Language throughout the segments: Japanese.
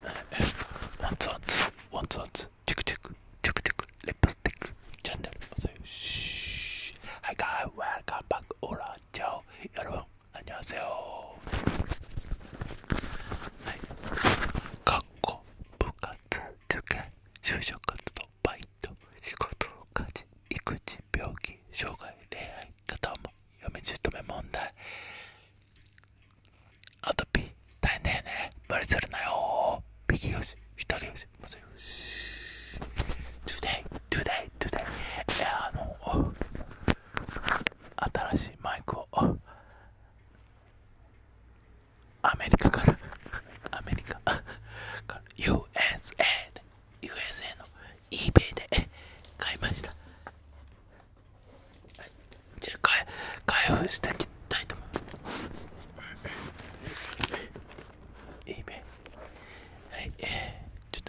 はワンツワンツワンツワンツチクチクチクチクレップスティックチャンネルおさよしはいかーい Welcome back オラチャオ여러분안녕하세요はい学校部活受験就職活動バイト仕事家事育児病気障害恋愛肩も嫁姑問題アトピー大変だよね無理するなよ右よし左よしまずよし Today Today Today あの新しいマイクをアメリカからアメリカから USA で USA の eBay で買いましたはい、じゃあ開開封していきたいと思います。いいね。はい、えー、ちょっと。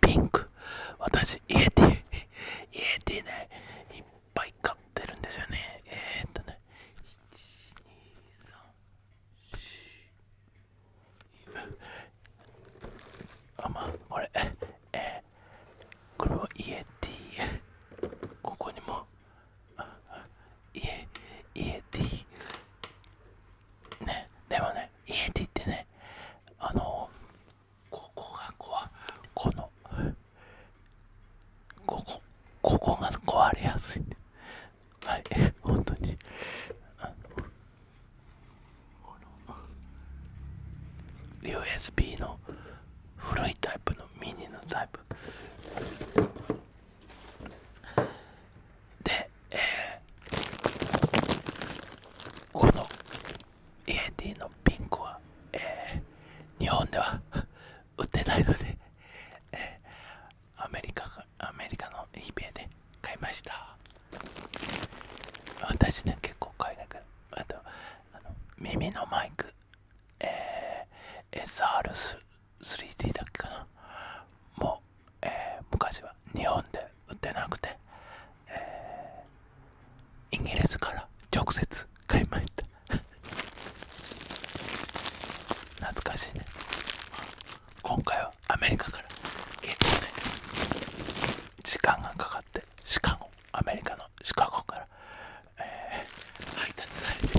ピンク私イエティねいっぱい買ってるんですよねえっとね123あまあこれえー、これはイエここにもイエイエテねでもねイエってねあのここがこわこのここここが壊れやすい、ね、はい本当にあの USB の古いタイプのミニのタイプで、えー、このイエティのピンクは、え日本では 売ってないので、えアメリカアメリカの e b a で買いました私ね結構買いなくあとあの耳のマイク、え SR3D だっけかなもう、昔は日本で売ってなくて、えイギリスから直接買いまいった 懐かしいね今回はアメリカから結構ね時間がかかってシカゴアメリカのシカゴから、え配達されて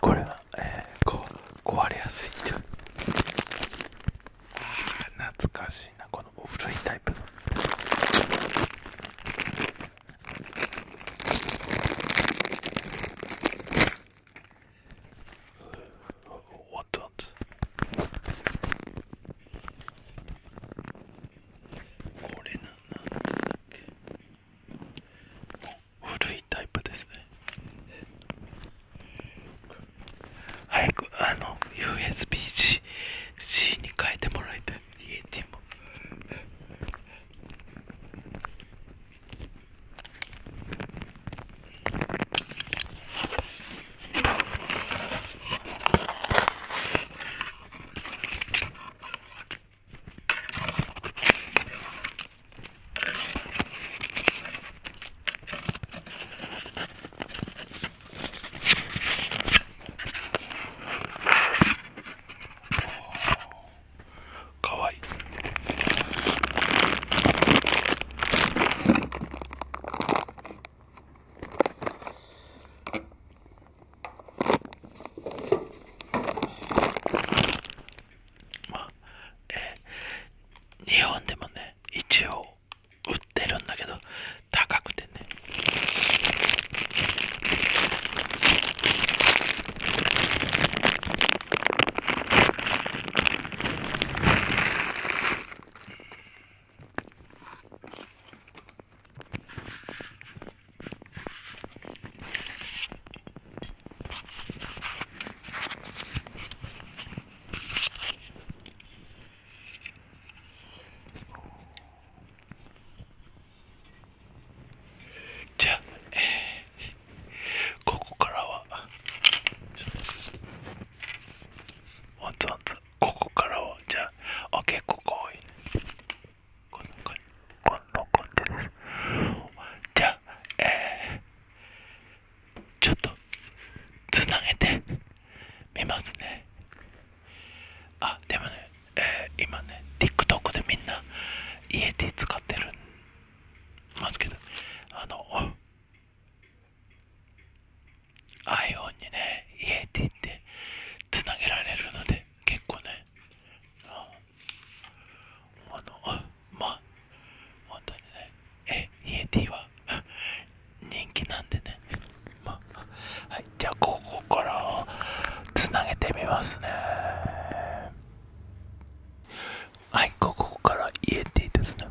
これは、壊れやすい人ああ懐かしいなこの古いタイプの whatnot. USB-C に変えてもらいたい EAT もかわいい。まあえー、日本でもね一応売ってるんだけど高くてねじゃあ、えー、ここからはほんとほここからはじゃあオッケここ多いこのここのこんですじゃあえちょっとつなげてみますねあでもね、えー、今ね TikTok でみんなイエテ使ってるますけどあの i p h o n にね EAT ってつなげられるので結構ねあのあまあ本当にねえ EAT は人気なんでねまあはいじゃあここからつなげてみますねはいここから EAT ですね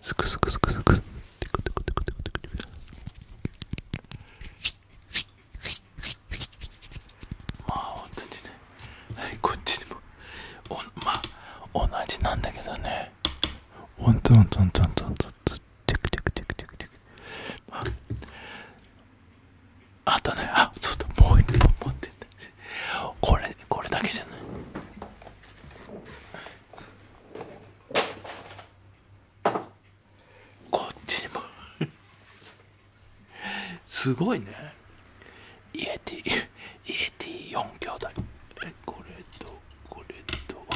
すくすくすくすくテクテクテクテクテクテクまあ本当にねはいこっちにもおまあ同じなんだけどねおんとんとんとんとんとんテクテクテクテクテクまああとねあそうだもう一本持ってんだこれこれだけじゃないこっちにもすごいねイエティイエティ4兄弟これとこれと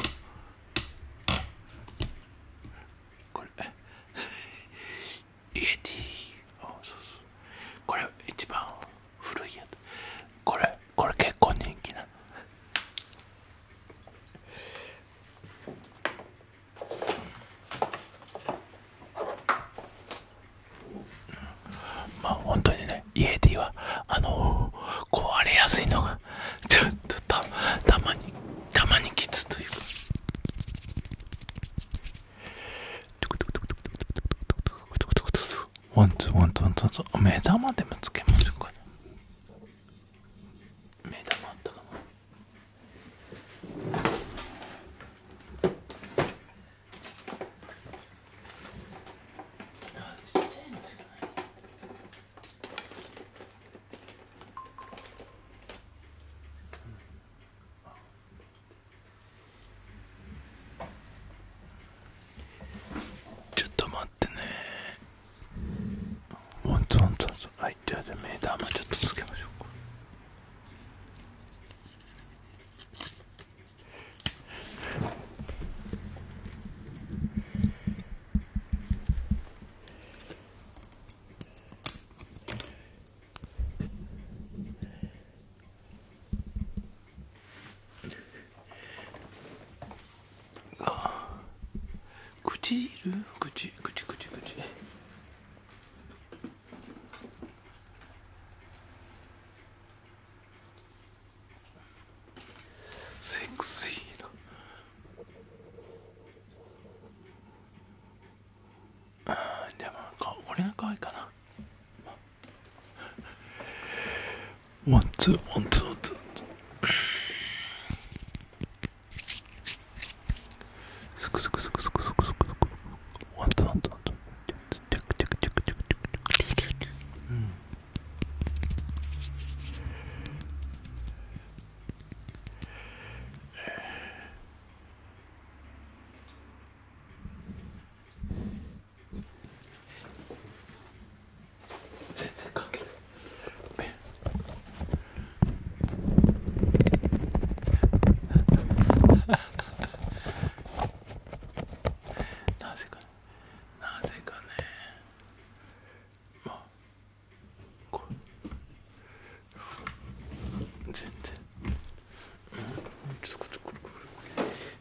これイエティあそうそうこれ一番古いやつこれこれ結構人気なまあ本当にね家ではあの壊れやすいのがたまにたまにきつというか。ワンツーワンツーワンツーワン目玉でもつけましょうかね目玉あったかなちっちゃいのしかないちょっと待ってねワンツワンツワいじゃあ目玉ちょっとつけましょうか口いる口口口口セクシーなああ、でもか俺が可愛いかなワンツーワンツーワンツーすくすくすくすくすくすくワンツーワンツーワンツーチェクチェクチェクチェクチェクチェクうん全然関係ないなぜかねなぜかねまあこれ全然、うん、ちょっとこっちこれこれ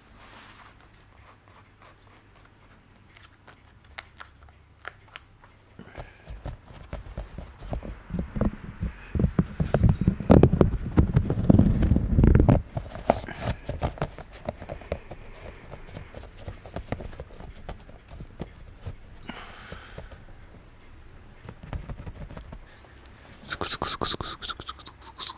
すくすくすくすくすくすくすくすくすく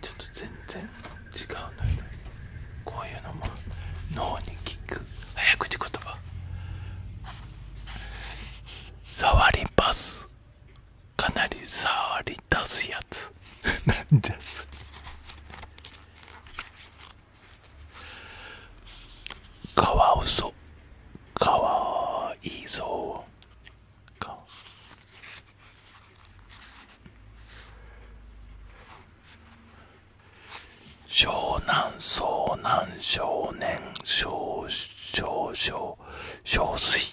ちょっと全然違うのよねこういうのも脳に効く早口言葉触りパスかなり触り出すやつなんじゃそわワウソかわいいぞか湘南湘南、少年少少少少水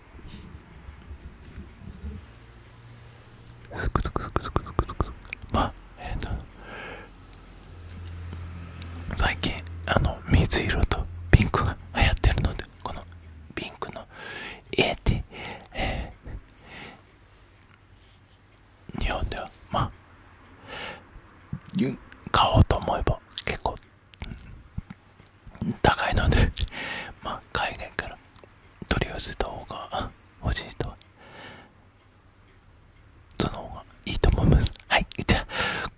すくすくすくすくすくすくまあえっ、ー、と最近あの水色とピンクが流行ってるのでこのピンクのイエテえ日本ではまあ買おうと思えば結構うん。高いので まあ海外から取り寄せた方が欲しい人その方がいいと思いますはいじゃ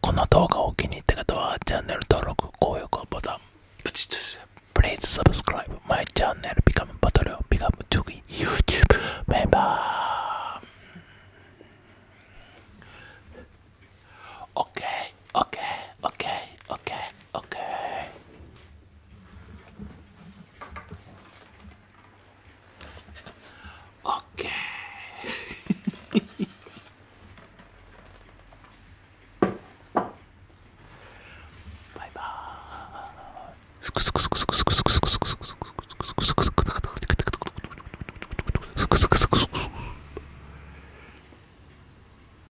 この動画を気に入った方はチャンネル登録高評価ボタンプチッと Please subscribe my channel become battle become jogi YouTube member Okay Okay, okay, okay, okay. Okay. bye bye.